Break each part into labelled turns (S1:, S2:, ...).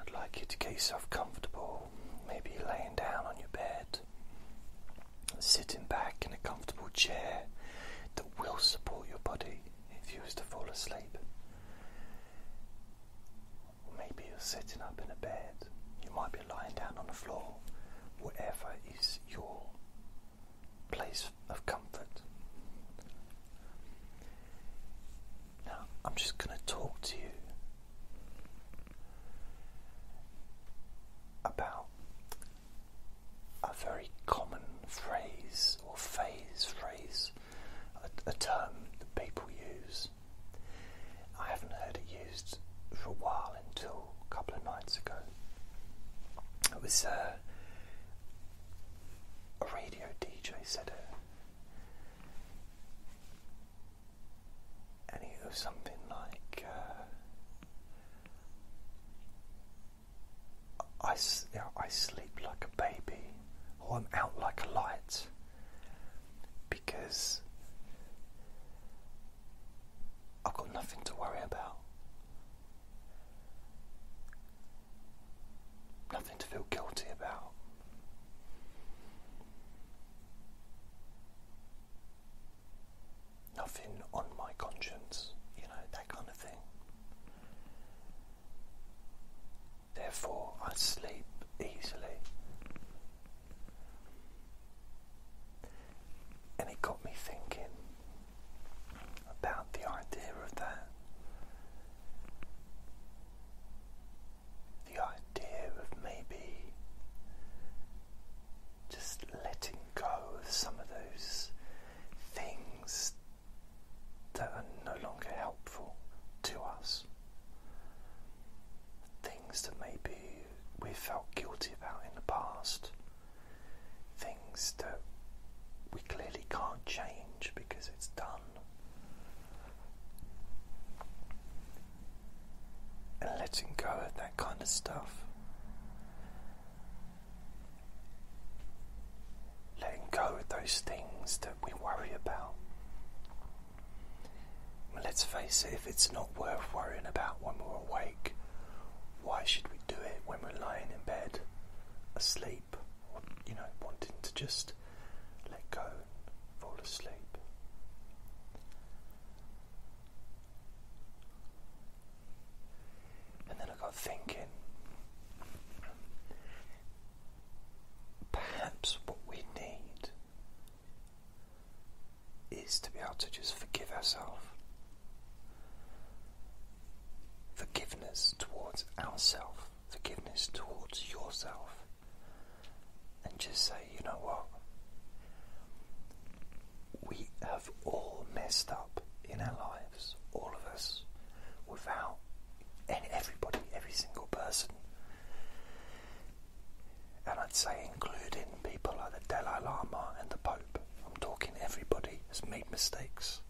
S1: I'd like you to get yourself comfortable, maybe laying down on your bed, sitting back in a comfortable chair that will support your body if you was to fall asleep. maybe you're sitting up in a bed, you might be lying down on the floor, whatever is your place of comfort. Now I'm just going to talk to you about a very common phrase or phase, phrase, a, term that people use. I haven't heard it used for a while until a couple of nights ago. It was uh, a radio DJ said it and it something like uh, I, you I sleep like a baby or I'm out like a light because I've got nothing to worry about. Nothing to feel guilty about. Nothing on my conscience, you know, that kind of thing. Therefore, I sleep easily. And it got me thinking about the idea of that the idea of maybe just letting go of some of those things that are no longer helpful to us. Things that maybe we felt guilty about in the past, things that we clearly can't change because it's done and letting go of that kind of stuff. Letting go of those things that we worry about. And let's face it, if it's not worth worrying about when we're awake, why should we do it when we're lying in bed, asleep, you know, wanting to just let go fall asleep. And then I got thinking perhaps what we need is to be able to just forgive ourselves. Forgiveness towards ourselves forgiveness towards yourself and just say, you know what? We have all messed up in our lives, all of us, without and everybody, every single person. And I'd say including people like the Dalai Lama and the Pope. I'm talking everybody has made mistakes.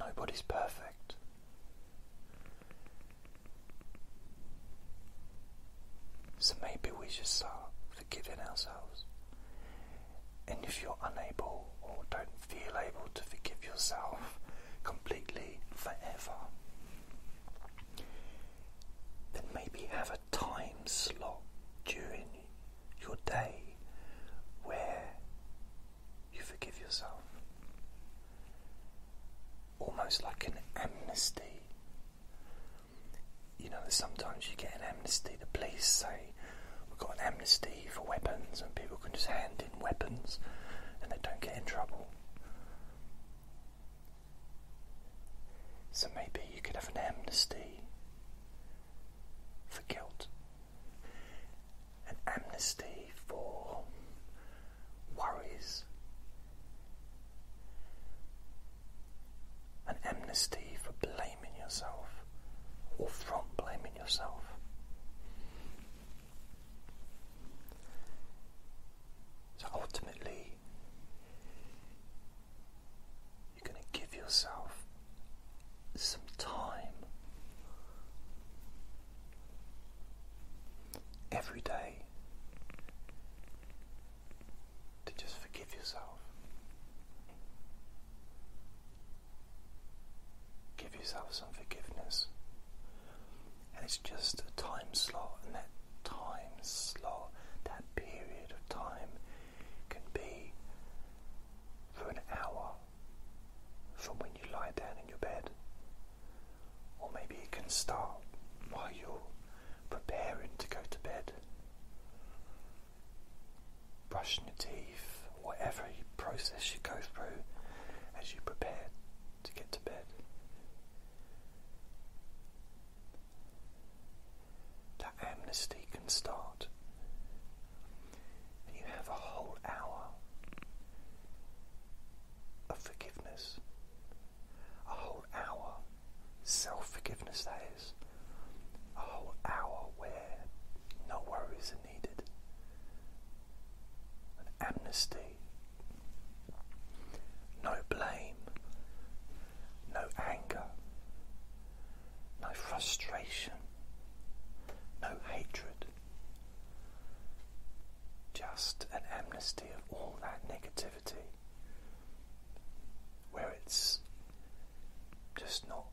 S1: Nobody's perfect. So maybe we should start forgiving ourselves. And if you're unable or don't feel able to forgive yourself completely forever, then maybe have a time slot during your day where you forgive yourself. Almost like an amnesty. You know, sometimes you get an amnesty, the police say, We've got an amnesty for weapons, and people can just hand in weapons and they don't get in trouble. So maybe you could have an amnesty for guilt an amnesty for worries, an amnesty for blaming yourself or from blaming yourself. So ultimately, you're going to give yourself some time every day to just forgive yourself. Give yourself some forgiveness. And it's just a time slot, and that time slot, that period of time can be for an hour from when you lie down in your bed. Or maybe it can start while you're preparing to go to bed, brushing your teeth, whatever process you go through as you prepare to get to bed. That amnesty can start you have a whole hour of forgiveness. A whole hour. Self forgiveness, that is. A whole hour where no worries are needed. amnesty. No blame. No anger no frustration, no hatred, just an amnesty of all that negativity where it's just not.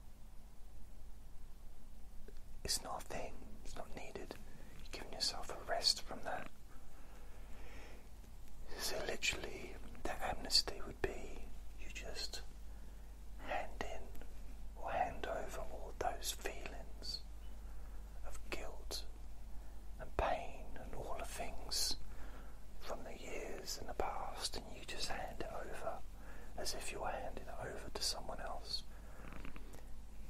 S1: It's not a thing, it's not needed. You're giving yourself a rest from that. So, literally, that amnesty would be you just hand in or hand over all those feelings of guilt and pain and all the things from the years in the past, and you just hand it over as if you're handing it over to someone else,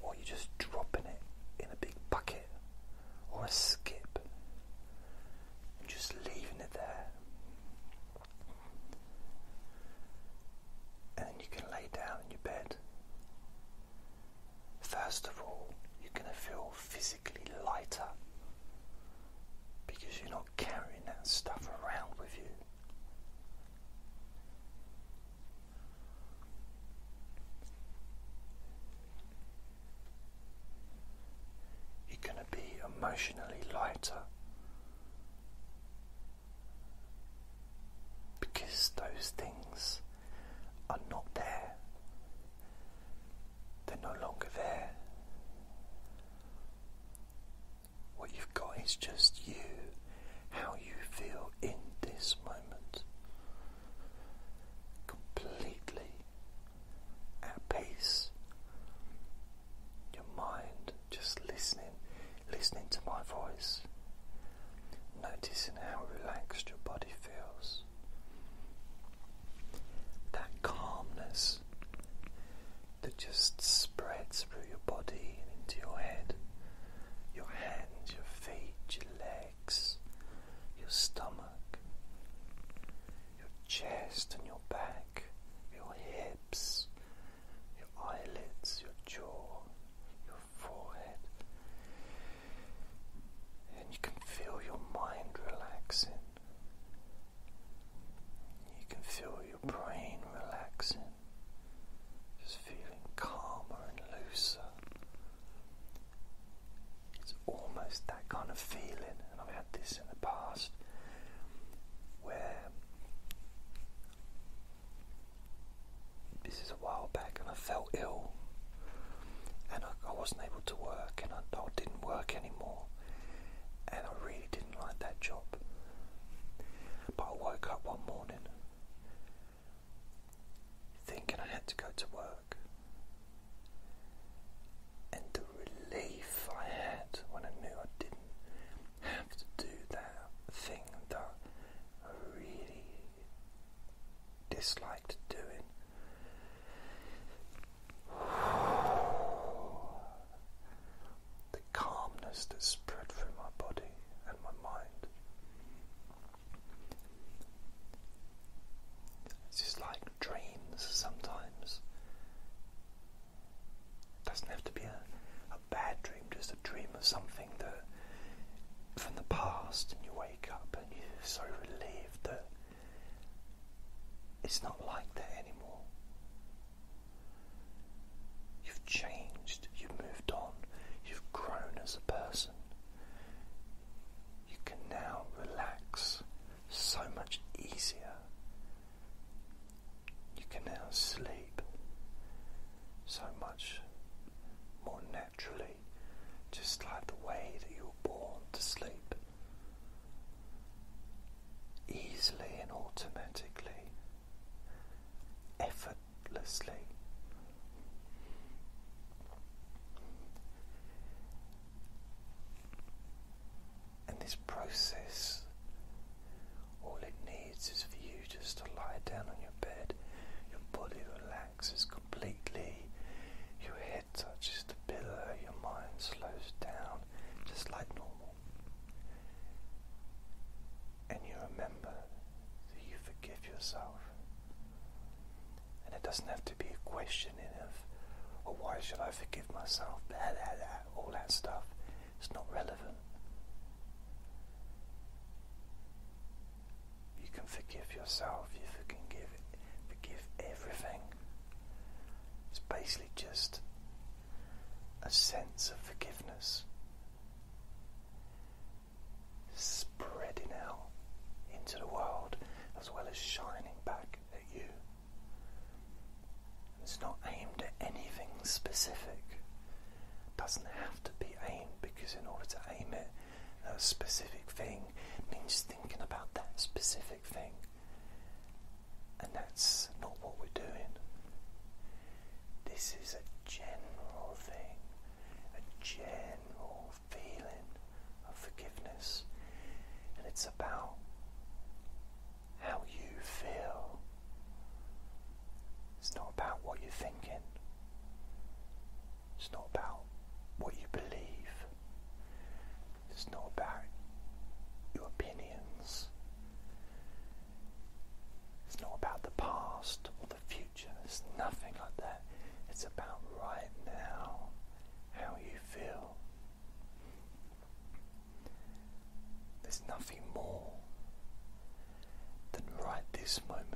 S1: or you're just dropping it in a big bucket or a skip and just leaving it there. And then you can lay down in your bed. First of all, you're going to feel physically lighter because you're not carrying that stuff around with you. You're going to be emotionally lighter because those things are not there, they're no longer there. What you've got is just you, how you feel in this moment, completely at peace. Your mind just listening, listening to my voice, noticing how relaxed your body feels. That calmness that just spreads through your body and into your head, your hands, your feet, your legs, your stomach, your chest and your back, your hips, your eyelids, your jaw, your forehead. And you can feel your mind relaxing. You can feel your brain relaxing, just feeling calmer and looser. It's almost that kind of feeling, and I've had this in the past where this is a while back, and I felt ill, and I, wasn't able to work, and I didn't work anymore, and I really didn't like that job. But I woke up one morning thinking I had to go to work, and the relief I had when I knew I didn't have to do that thing that I really disliked doing. The calmness that spread through my body and my mind. It's just like dreams sometimes. It doesn't have to be a bad dream, just a dream of something that from the past, and you wake up and you're so relieved that it's not like that anymore. You've changed, you've moved on, you've grown as a person. You can now relax so much easier you can now sleep so much more naturally, just like the way that you were born to sleep. Easily and automatically, effortlessly. And this process all it needs is for you just to lie down on your bed, your body relaxes completely, your head touches the pillow, your mind slows down just like normal. And you remember that you forgive yourself. And it doesn't have to be a questioning of, oh, why should I forgive myself? Blah, blah, blah, all that stuff. It's not relevant. You can forgive yourself, you can give, forgive everything. It's basically just a sense of forgiveness spreading out into the world as well as shining back at you. It's not aimed at anything specific. It doesn't have to be aimed because in order to aim it at a specific thing means thinking about that specific thing. And that's not what we're doing. This is a general thing, a general feeling of forgiveness. And it's about how you feel. It's not about what you're thinking, it's not about what you believe, it's not about your opinions. It's not about the past or the future, it's nothing like that. It's about right now, how you feel. There's nothing more than right this moment.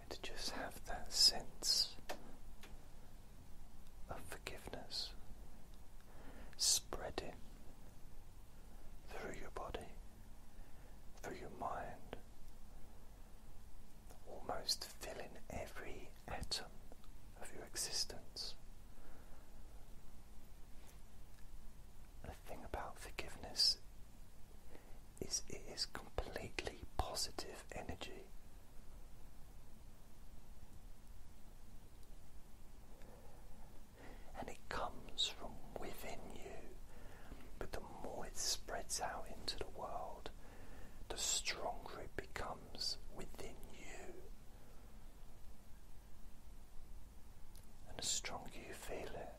S1: And to just have that sense of forgiveness spreading through your body, through your mind, almost fill in every atom of your existence. The thing about forgiveness is it is completely positive energy. And it comes from within you, but the more it spreads out into the world, the stronger it becomes within you. And the stronger you feel it,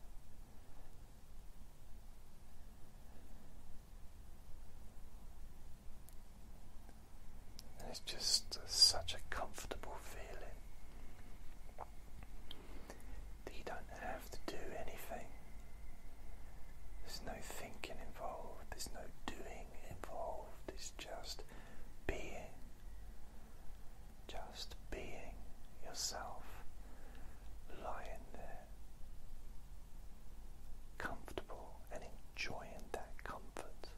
S1: it's just such a comfortable feeling that you don't have to do anything. There's no thinking involved, there's no doing involved, it's just being, just being yourself, lying there, comfortable and enjoying that comfort,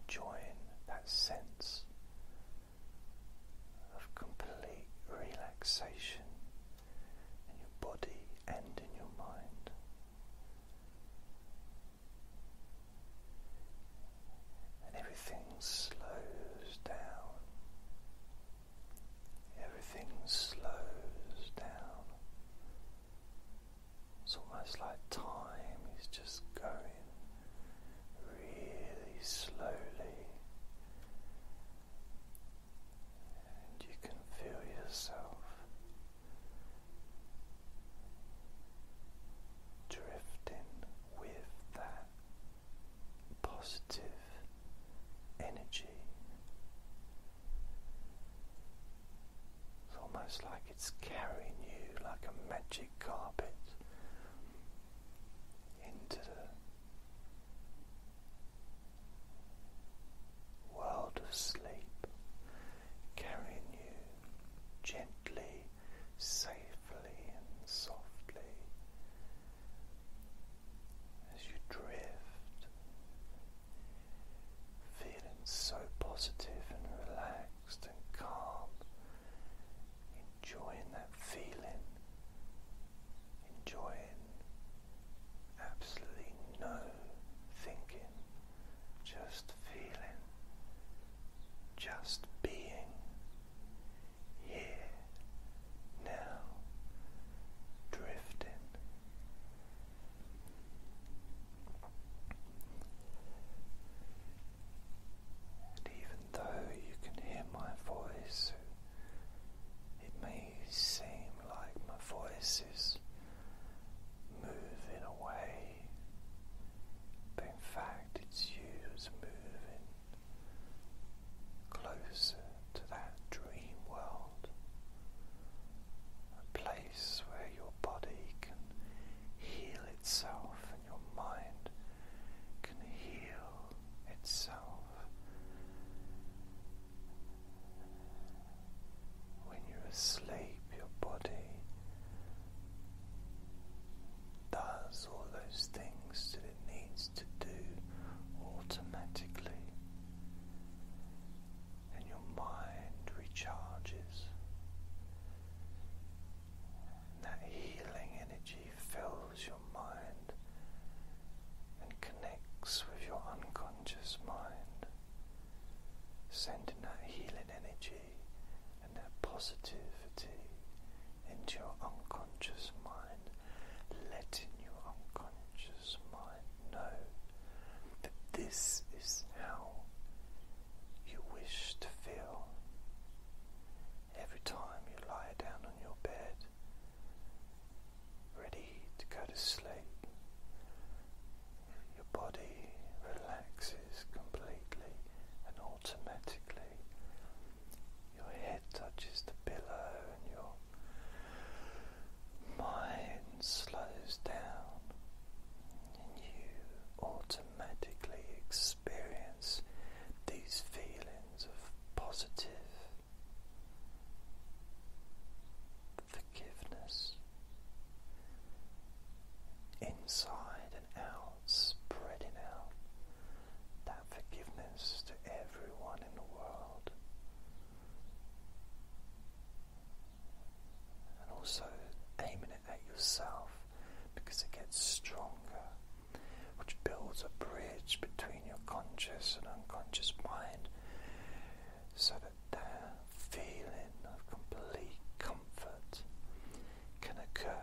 S1: enjoying that sense of complete relaxation in your body and in your mind. And everything slows down. Everything slows down. It's almost like time is just going really slowly and you can feel yourself drifting with that positive energy. It's almost like it's carrying you like a magic carpet into the world of sleep, carrying you gently, safely, and softly as you drift, feeling so positive and relaxed and calm, enjoying that feeling. Enjoying absolutely no thinking, just feeling, just being here now, drifting. And even though you can hear my voice, it may seem like my voice is moving away, but in fact, it's you that's moving closer to that dream world, a place where your body can heal itself and your mind can heal itself. When you're asleep, your body does all those things that it needs to do automatically, and your mind recharges. that healing energy fills your mind and connects with your unconscious mind sending that healing energy and that positivity into your unconscious mind, letting your unconscious mind know that this is how you wish to feel. Every time you lie down on your bed, ready to go to sleep. Your body relaxes completely and automatically. Your head touches the pillow and your mind slows down, and you automatically experience these feelings of positive, forgiveness inside and out, spreading out that forgiveness to everyone in the world. And also aiming it at yourself because it gets stronger, which builds a bridge between your conscious and unconscious mind, so that that feeling of complete comfort can occur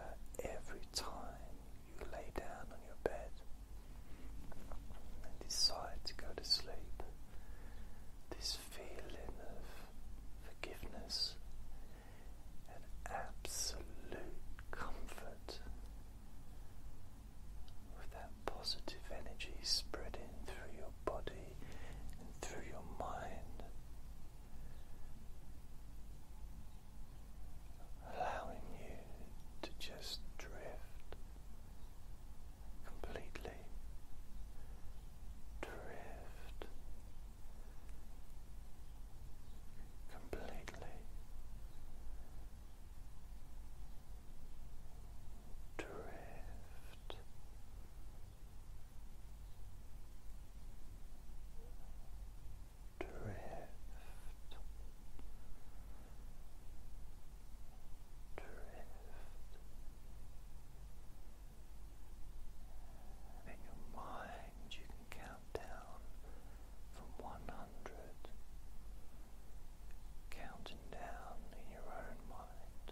S1: every time you lay down on your bed and decide to go to sleep. This feeling of forgiveness and absolute comfort with that positive energy spreading through your body and through your mind, allowing you to just drift completely, drift completely drift drift drift in your mind you can count down from one hundred counting down in your own mind,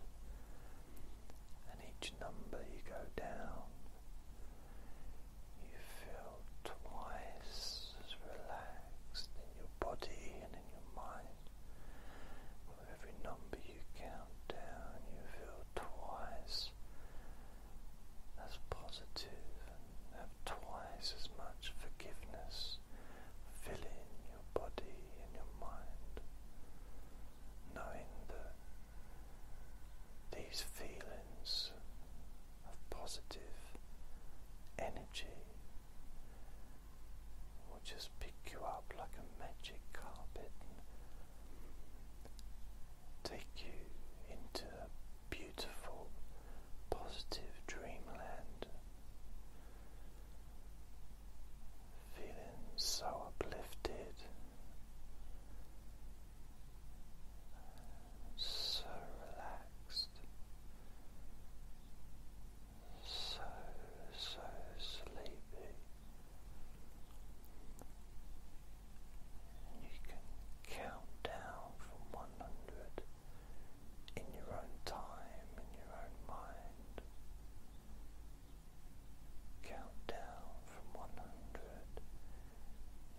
S1: and each number you go down, you feel twice as relaxed in your body and in your mind. With every number you count down, you feel twice as positive and have twice as much forgiveness. Fill body and your mind, knowing that these feelings of positive energy will just pick you up like a magic carpet take you into a beautiful, positive dreamland feeling so uplifted, so relaxed, so, so sleepy. you can count down from 100 in your own time, in your own mind. Count down from 100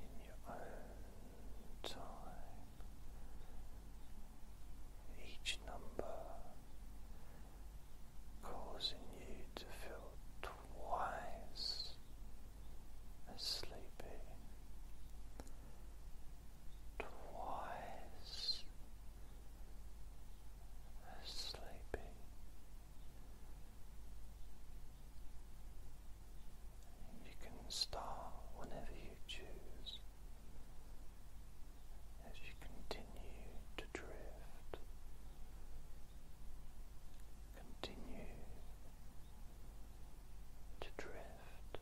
S1: in your own time. Each number causing you to feel twice as sleepy twice as sleepy. You can start whenever you choose as you continue to drift, continue to drift.